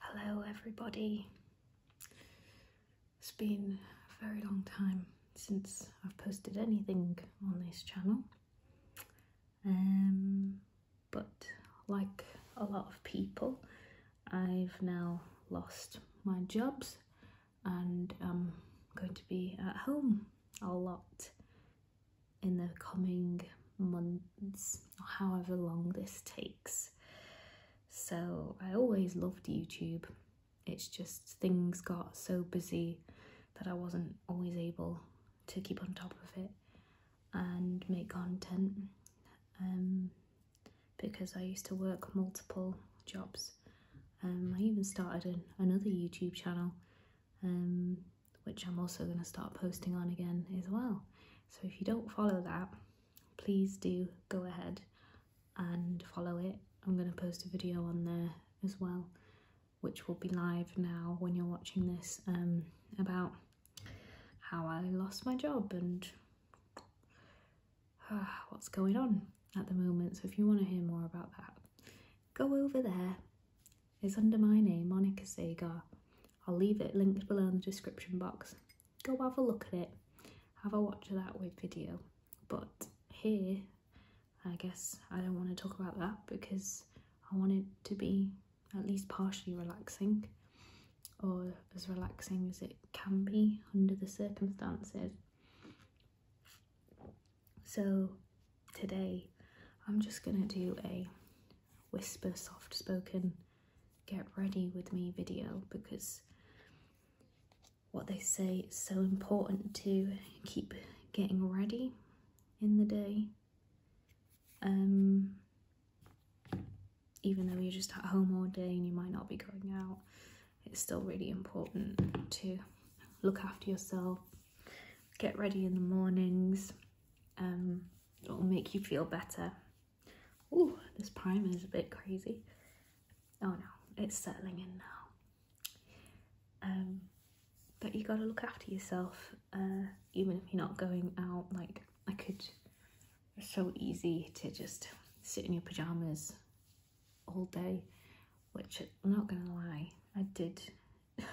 Hello, everybody. It's been a very long time since I've posted anything on this channel, um, but like a lot of people, I've now lost my jobs and I'm going to be at home a lot in the coming months however long this takes. So I always loved YouTube. It's just things got so busy that I wasn't always able to keep on top of it and make content um, because I used to work multiple jobs um, I even started another YouTube channel, um, which I'm also going to start posting on again as well. So if you don't follow that, please do go ahead and follow it. I'm going to post a video on there as well, which will be live now when you're watching this, um, about how I lost my job and what's going on at the moment. So if you want to hear more about that, Go over there. It's under my name, Monica Sagar. I'll leave it linked below in the description box. Go have a look at it, have a watch of that with video. But here, I guess I don't want to talk about that because I want it to be at least partially relaxing or as relaxing as it can be under the circumstances. So today I'm just going to do a whisper soft spoken get ready with me video because what they say is so important to keep getting ready in the day um, even though you're just at home all day and you might not be going out it's still really important to look after yourself get ready in the mornings um, it'll make you feel better oh this primer is a bit crazy oh no it's settling in now um, but you got to look after yourself uh, even if you're not going out like I could it's so easy to just sit in your pajamas all day, which I'm not gonna lie, I did, I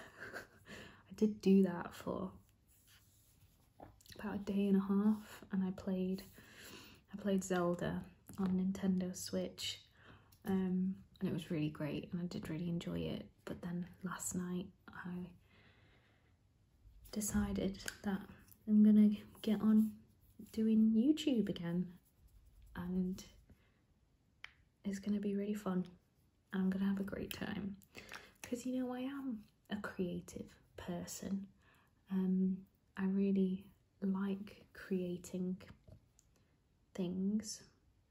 did do that for about a day and a half, and I played, I played Zelda on Nintendo Switch, um, and it was really great, and I did really enjoy it. But then last night, I decided that I'm gonna get on doing YouTube again, and it's going to be really fun. and I'm going to have a great time. Because, you know, I am a creative person. Um, I really like creating things.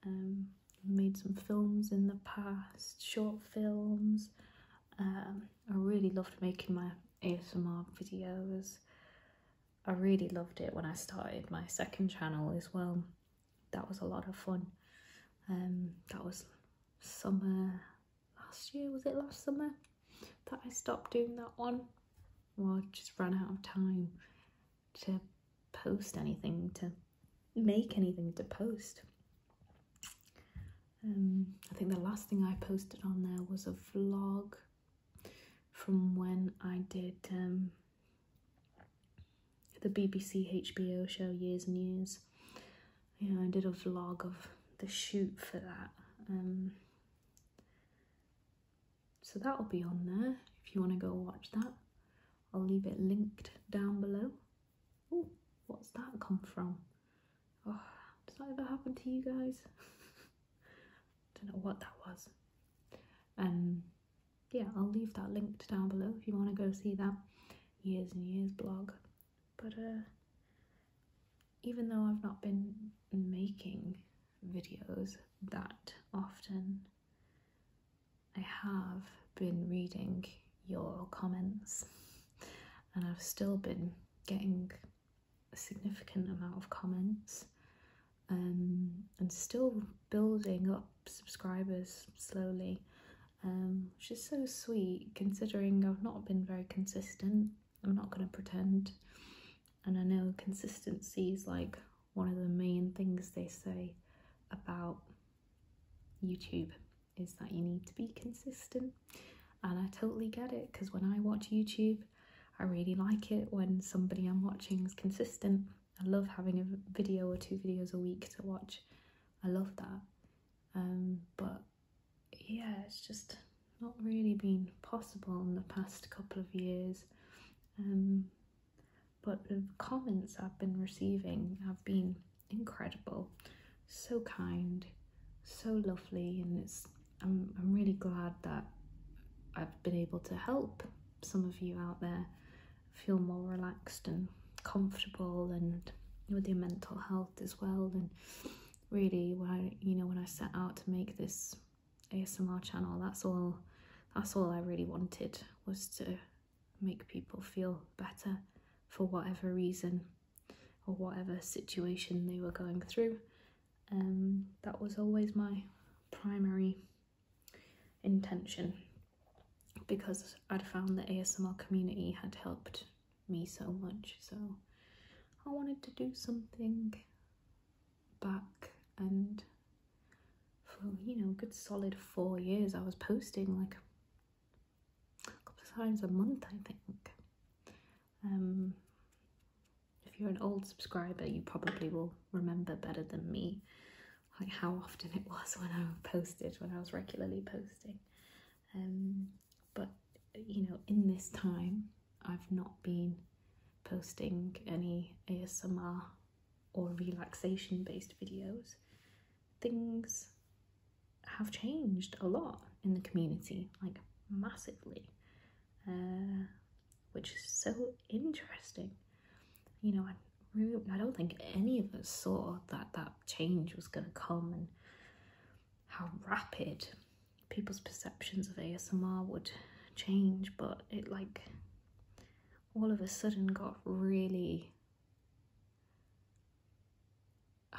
Um, made some films in the past, short films. Um, I really loved making my ASMR videos. I really loved it when I started my second channel as well. That was a lot of fun. Um, that was summer last year, was it last summer that I stopped doing that one? Well, I just ran out of time to post anything, to make anything to post. Um, I think the last thing I posted on there was a vlog from when I did um, the BBC HBO show years and years. You I did a vlog of the shoot for that. Um, so that'll be on there if you want to go watch that. I'll leave it linked down below. Oh, what's that come from? does oh, that ever happen to you guys? don't know what that was. and um, yeah, I'll leave that linked down below if you want to go see that years and years blog. But uh, even though I've not been making videos that often, I have been reading your comments and I've still been getting significant amount of comments um, and still building up subscribers slowly, um, which is so sweet considering I've not been very consistent. I'm not going to pretend. And I know consistency is like one of the main things they say about YouTube is that you need to be consistent. And I totally get it because when I watch YouTube, I really like it when somebody I'm watching is consistent. I love having a video or two videos a week to watch. I love that. Um, but yeah, it's just not really been possible in the past couple of years. Um, but the comments I've been receiving have been incredible, so kind, so lovely, and it's I'm, I'm really glad that I've been able to help some of you out there feel more relaxed and comfortable and with your mental health as well and really when you know when I set out to make this ASMR channel that's all that's all I really wanted was to make people feel better for whatever reason or whatever situation they were going through um, that was always my primary intention because I'd found the ASMR community had helped me so much. So I wanted to do something back and for, you know, good solid four years I was posting like a couple of times a month, I think. Um, if you're an old subscriber, you probably will remember better than me like how often it was when I posted, when I was regularly posting. Um, but you know, in this time, I've not been posting any ASMR or relaxation based videos. Things have changed a lot in the community, like massively. Uh, which is so interesting. You know, I, I don't think any of us saw that that change was going to come and how rapid people's perceptions of ASMR would change, but it like all of a sudden got really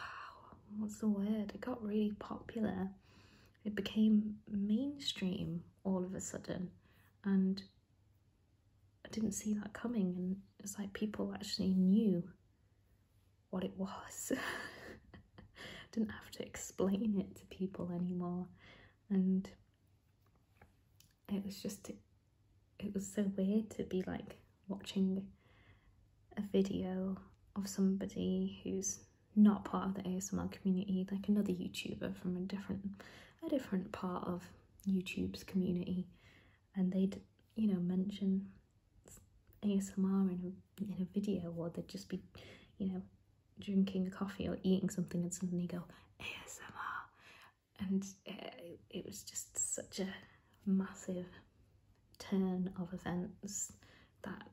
what's the word? It got really popular it became mainstream all of a sudden and I didn't see that coming and it's like people actually knew what it was. didn't have to explain it to people anymore and it was just it was so weird to be like watching a video of somebody who's not part of the ASMR community, like another YouTuber from a different a different part of YouTube's community, and they'd you know mention ASMR in a in a video, or they'd just be you know drinking coffee or eating something, and suddenly go ASMR, and uh, it was just such a massive turn of events that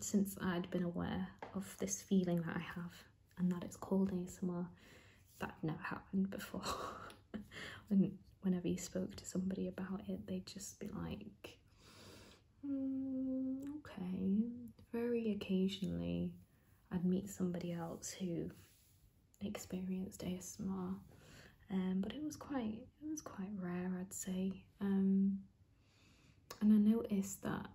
since I'd been aware of this feeling that I have and that it's called ASMR, that never happened before. when, whenever you spoke to somebody about it, they'd just be like, hmm, okay. Very occasionally, I'd meet somebody else who experienced ASMR, um, but it was quite it was quite rare, I'd say. Um, and I noticed that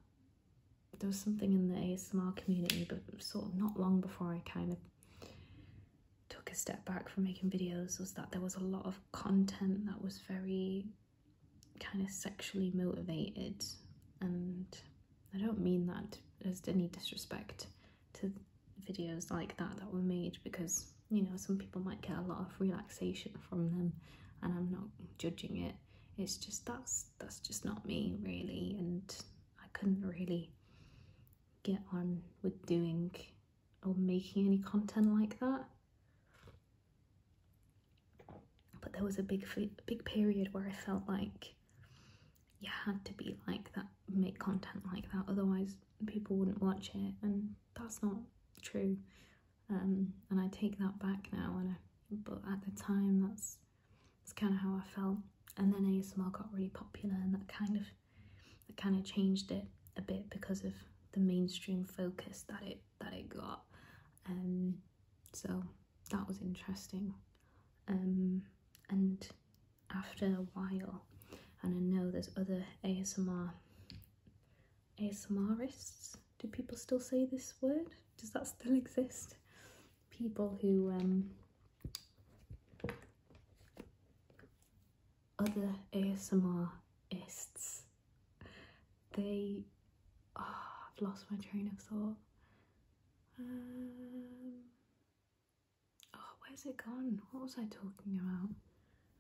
there was something in the ASMR community, but sort of not long before I kind of took a step back from making videos, was that there was a lot of content that was very kind of sexually motivated. And I don't mean that as any disrespect to videos like that that were made because you know some people might get a lot of relaxation from them and i'm not judging it it's just that's that's just not me really and i couldn't really get on with doing or making any content like that but there was a big big period where i felt like you had to be like that make content like that otherwise people wouldn't watch it and that's not true um, and I take that back now. And but at the time, that's that's kind of how I felt. And then ASMR got really popular, and that kind of that kind of changed it a bit because of the mainstream focus that it that it got. Um, so that was interesting. Um, and after a while, and I know there's other ASMR ASMRists. Do people still say this word? Does that still exist? People who um, other ASMRists. They, oh, I've lost my train of thought. Um, oh, where's it gone? What was I talking about?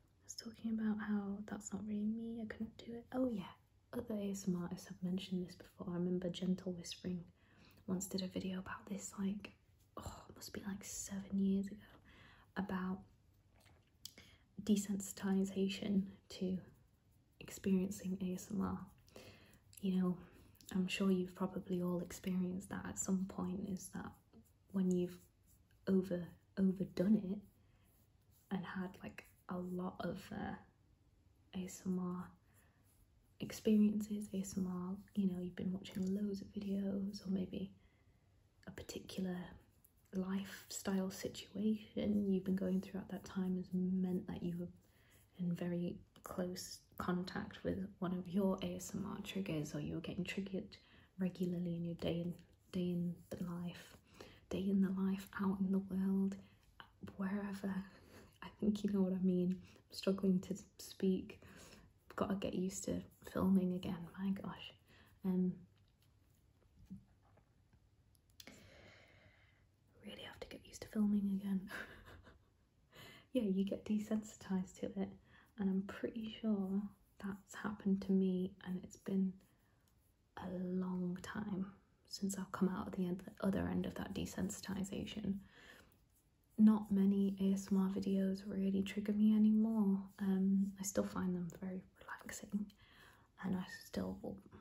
I was talking about how that's not really me, I couldn't do it. Oh yeah, other ASMR artists have mentioned this before. I remember Gentle Whispering once did a video about this like, oh, it must be like seven years ago, about desensitization to experiencing ASMR. You know, I'm sure you've probably all experienced that at some point is that when you've over overdone it and had like a lot of uh, ASMR experiences, ASMR, you know, you've been watching loads of videos or maybe a particular lifestyle situation you've been going throughout that time has meant that you were in very close contact with one of your ASMR triggers or you're getting triggered regularly in your day day in the life, day in the life, out in the world, wherever. I think you know what I mean. I'm struggling to speak. got to get used to filming again. My gosh. and um, really have to get used to filming again. yeah, you get desensitized to it, and I'm pretty sure that's happened to me, and it's been a long time since I've come out the, end, other end of that desensitization. Not many ASMR videos really trigger me anymore. Um, I still find them very relaxing, and I still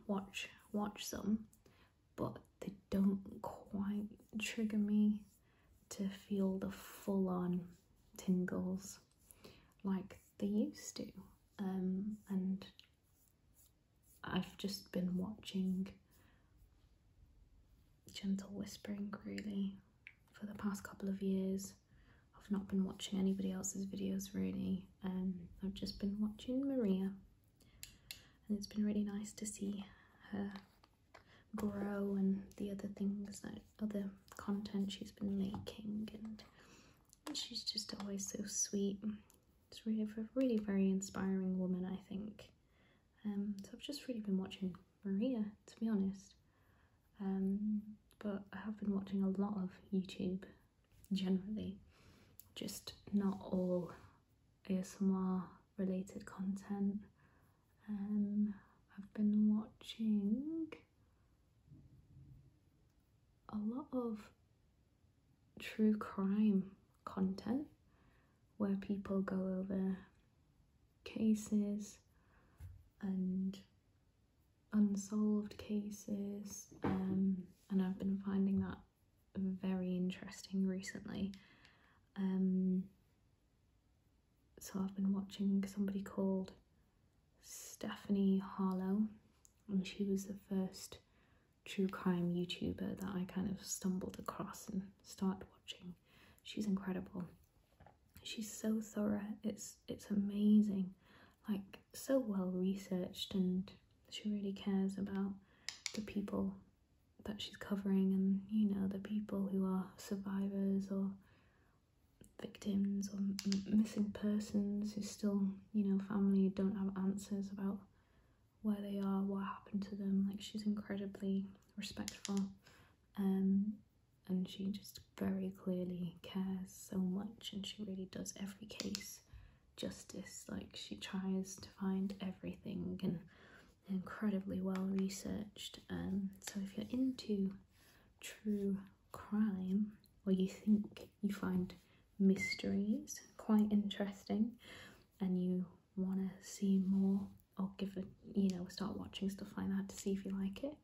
watch watch some, but they don't quite trigger me to feel the full on tingles like they used to. Um, and I've just been watching Gentle Whispering really for the past couple of years. I've not been watching anybody else's videos really. Um, I've just been watching Maria and it's been really nice to see her grow and the other things that other content she's been making and she's just always so sweet it's really a really very inspiring woman i think um, so i've just really been watching maria to be honest um, but i have been watching a lot of youtube generally just not all asmr related content um, I've been watching a lot of true crime content where people go over cases and unsolved cases um, and I've been finding that very interesting recently. Um, so I've been watching somebody called Stephanie Harlow, and she was the first true crime YouTuber that I kind of stumbled across and started watching. She's incredible. She's so thorough. It's it's amazing, like so well researched, and she really cares about the people that she's covering, and you know the people who are survivors or victims or missing persons who still, you know, family don't have answers about where they are, what happened to them. Like she's incredibly respectful um, and she just very clearly cares so much and she really does every case justice. Like she tries to find everything and incredibly well researched. And um, so if you're into true crime or you think you find mysteries quite interesting and you want to see more or give it you know start watching stuff like that to see if you like it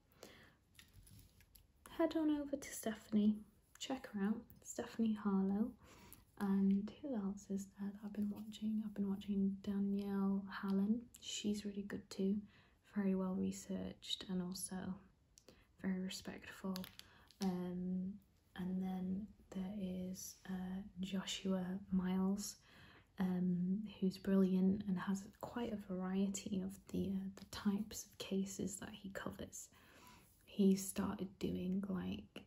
head on over to stephanie check her out stephanie harlow and who else is that i've been watching i've been watching danielle hallen she's really good too very well researched and also very respectful. Um, and then there is uh, Joshua Miles, um, who's brilliant and has quite a variety of the uh, the types of cases that he covers. He started doing like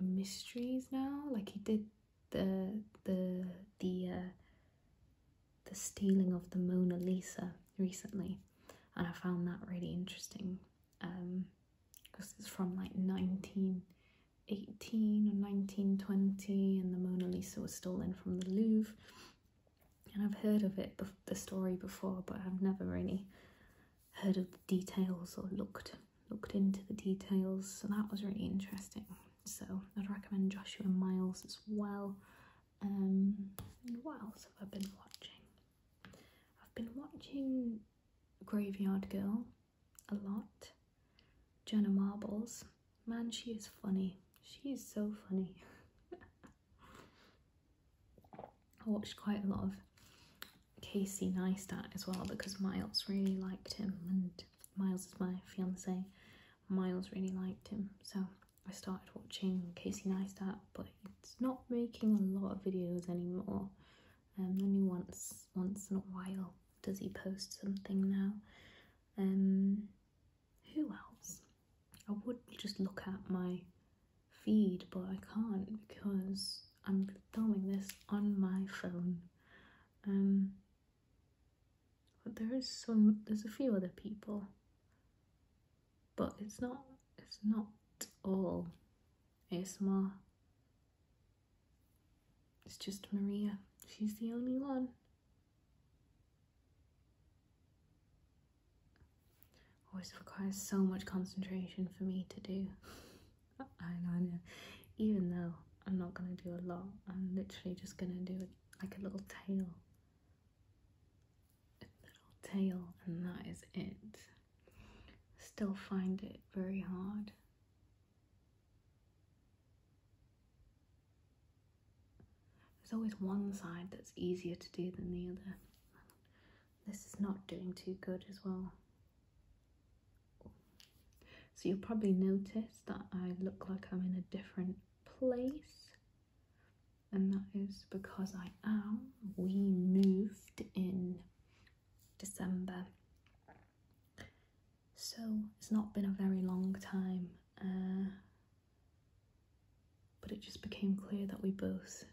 mysteries now, like he did the the the uh, the stealing of the Mona Lisa recently, and I found that really interesting because um, it's from like 1918 or 1920, and the Mona Lisa was stolen from the Louvre. And I've heard of it, the story before, but I've never really heard of the details or looked looked into the details. So that was really interesting so I'd recommend Joshua Miles as well. and um, what else have I been watching? I've been watching Graveyard Girl a lot. Jenna Marbles. Man, she is funny. She is so funny. I watched quite a lot of Casey Neistat as well because Miles really liked him and Miles is my fiance Miles really liked him, so I started watching Casey Neistat, but he's not making a lot of videos anymore. And um, only once, once in a while does he post something now. Um, who else? I would just look at my feed, but I can't because I'm filming this on my phone. Um, but there is some there's a few other people. But it's not it's not all ASMR. It's just Maria. She's the only one. Always oh, requires so much concentration for me to do. I know, even though I'm not going to do a lot. I'm literally just going to do it like a little tail. A little tail and that is it. Still find it very hard. There's always one side that's easier to do than the other. This is not doing too good as well. So you'll probably notice that I look like I'm in a different place and that is because I am. We moved in December so it's not been a very long time uh, but it just became clear that we both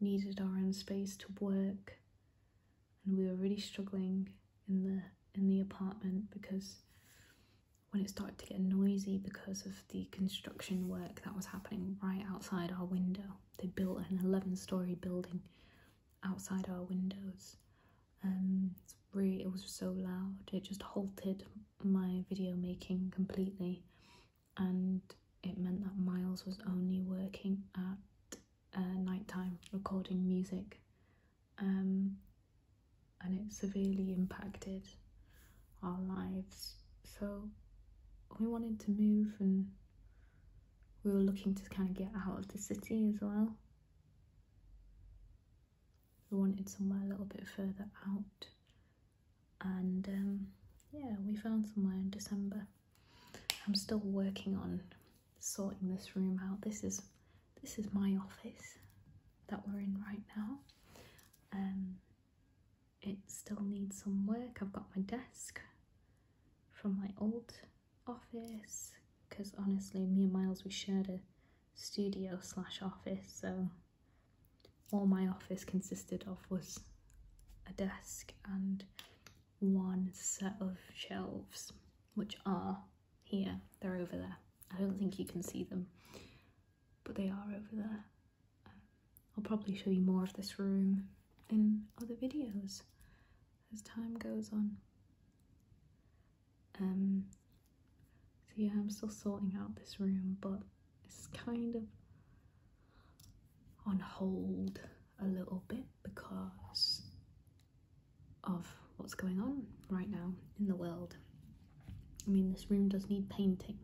needed our own space to work and we were really struggling in the in the apartment because when it started to get noisy because of the construction work that was happening right outside our window. They built an 11 story building outside our windows. Um, really, it was so loud, it just halted my video making completely, and it meant that Miles was only working at uh, nighttime recording music um, and it severely impacted our lives. So we wanted to move and we were looking to kind of get out of the city as well. We wanted somewhere a little bit further out and um, yeah, we found somewhere in December. I'm still working on sorting this room out. This is this is my office that we're in right now. and um, it still needs some work. I've got my desk from my old office because honestly, me and Miles we shared a studio slash office, so all my office consisted of was a desk and one set of shelves, which are here. They're over there. I don't think you can see them, but they are over there. I'll probably show you more of this room in other videos as time goes on. Um, so yeah, I'm still sorting out this room, but it's kind of on hold a little bit because of what's going on right now in the world. I mean, this room does need painting.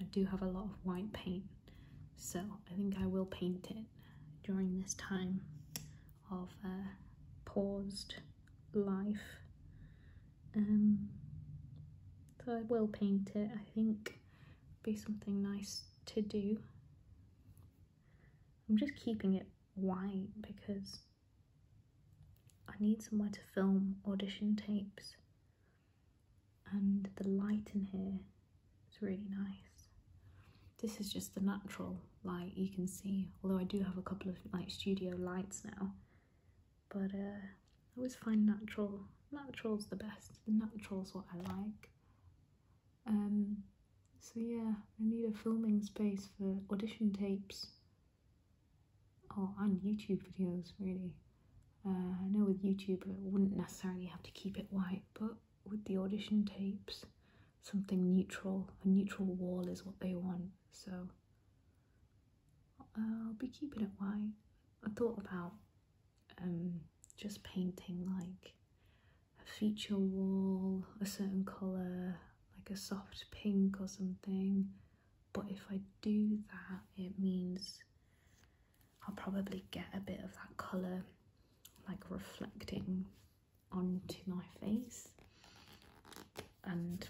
I do have a lot of white paint, so I think I will paint it during this time of uh, paused life. Um, so I will paint it, I think be something nice to do. I'm just keeping it wine because I need somewhere to film audition tapes, and the light in here is really nice. This is just the natural light you can see, although I do have a couple of like studio lights now, but uh, I always find natural. Natural's the best. The natural's what I like. Um, so yeah, I need a filming space for audition tapes or oh, and YouTube videos really. Uh, I know with YouTube I wouldn't necessarily have to keep it white, but with the audition tapes, something neutral, a neutral wall is what they want. So I'll be keeping it white. I thought about um, just painting like a feature wall, a certain colour, like a soft pink or something. But if I do that, it means I'll probably get a bit of that colour like reflecting onto my face and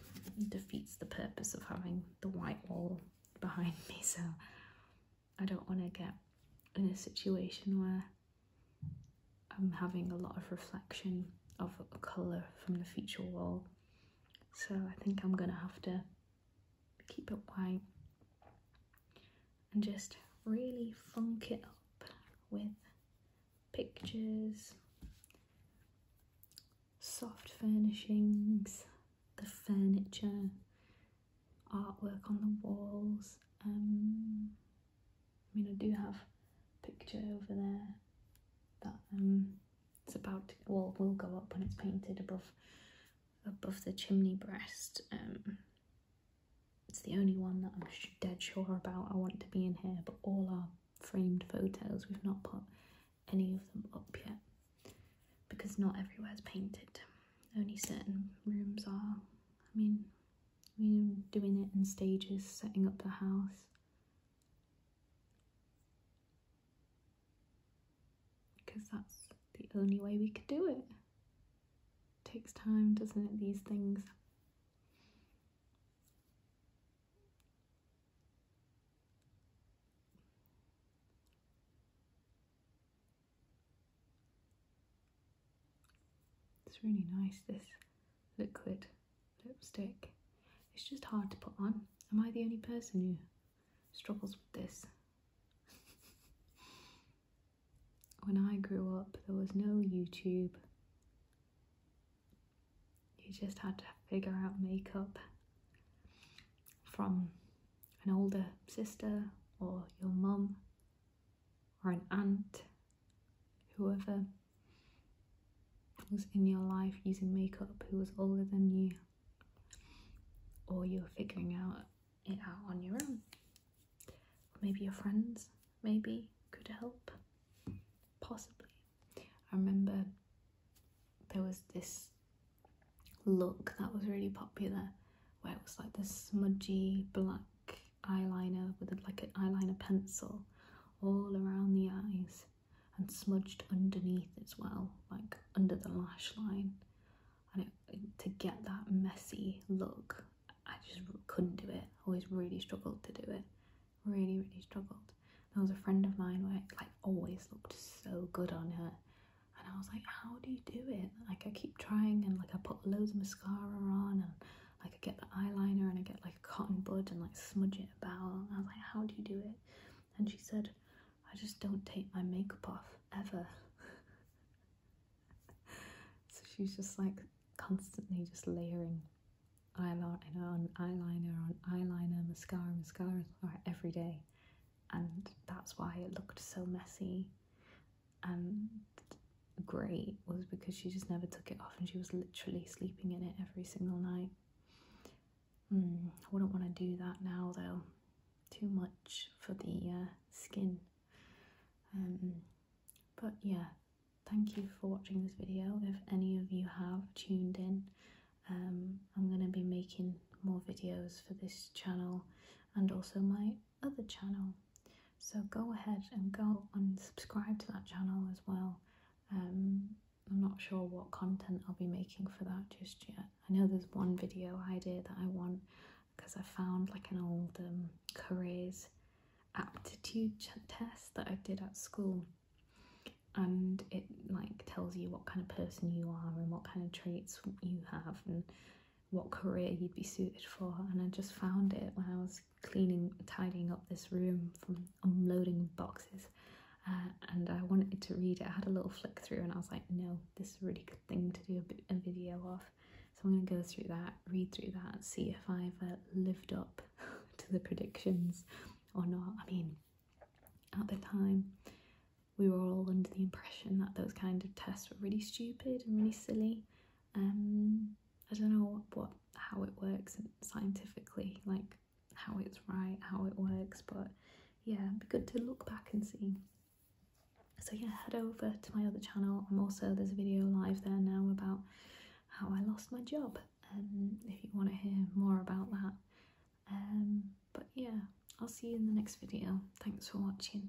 defeats the purpose of having the white wall behind me so I don't want to get in a situation where I'm having a lot of reflection of colour from the feature wall so I think I'm gonna have to keep it white and just really funk it up with pictures, soft furnishings, the furniture, artwork on the walls, um, I mean, I do have a picture over there that um, it's about well, will go up when it's painted above above the chimney breast. Um, it's the only one that I'm dead sure about. I want to be in here, but all our framed photos, we've not put any of them up yet because not everywhere is painted. Only certain rooms are. I mean, we are doing it in stages, setting up the house. Because that's the only way we could do it. Takes time, doesn't it, these things? It's really nice, this liquid lipstick. It's just hard to put on. Am I the only person who struggles with this? when I grew up, there was no YouTube. You just had to figure out makeup from an older sister or your mum or an aunt, whoever was in your life using makeup who was older than you, or you're figuring out it out on your own. maybe your friends, maybe could help, possibly. I remember there was this look that was really popular where it was like this smudgy black eyeliner with like an eyeliner pencil all around the eyes and smudged underneath as well, like under the lash line. And to get that messy look, I just couldn't do it. Always really struggled to do it. Really, really struggled. There was a friend of mine where it like always looked so good on her. And I was like, how do you do it? Like I keep trying and like I put loads of mascara on and like I get the eyeliner and I get like a cotton bud and like smudge it about. I was like, how do you do it? And she said, I just don't take my makeup off ever. so she's just like constantly just layering eyeliner on eyeliner on eyeliner, mascara, mascara every day. And that's why it looked so messy and great was because she just never took it off and she was literally sleeping in it every single night. Mm, I wouldn't want to do that now though. Too much for the uh, skin. Um, but yeah, thank you for watching this video. If any of you have tuned in, um, I'm going to be making more videos for this channel and also my other channel. So go ahead and go and subscribe to that channel as well. Um, I'm not sure what content I'll be making for that just yet. I know there's one video idea that I want because I found like an old um, careers aptitude test that I did at school and it like tells you what kind of person you are and what kind of traits you have and what career you'd be suited for and I just found it when I was cleaning tidying up this room from unloading boxes uh, and I wanted to read it I had a little flick through and I was like no this is a really good thing to do a, a video of so I'm going to go through that read through that see if I've uh, lived up to the predictions or not I mean at the time we were all under the impression that those kind of tests were really stupid and really silly um i don't know what how it works scientifically like how it's right how it works but yeah good to look back and see so yeah head over to my other channel i'm also there's a video live there now about how i lost my job um if you want to hear more about that um but yeah i'll see you in the next video thanks for watching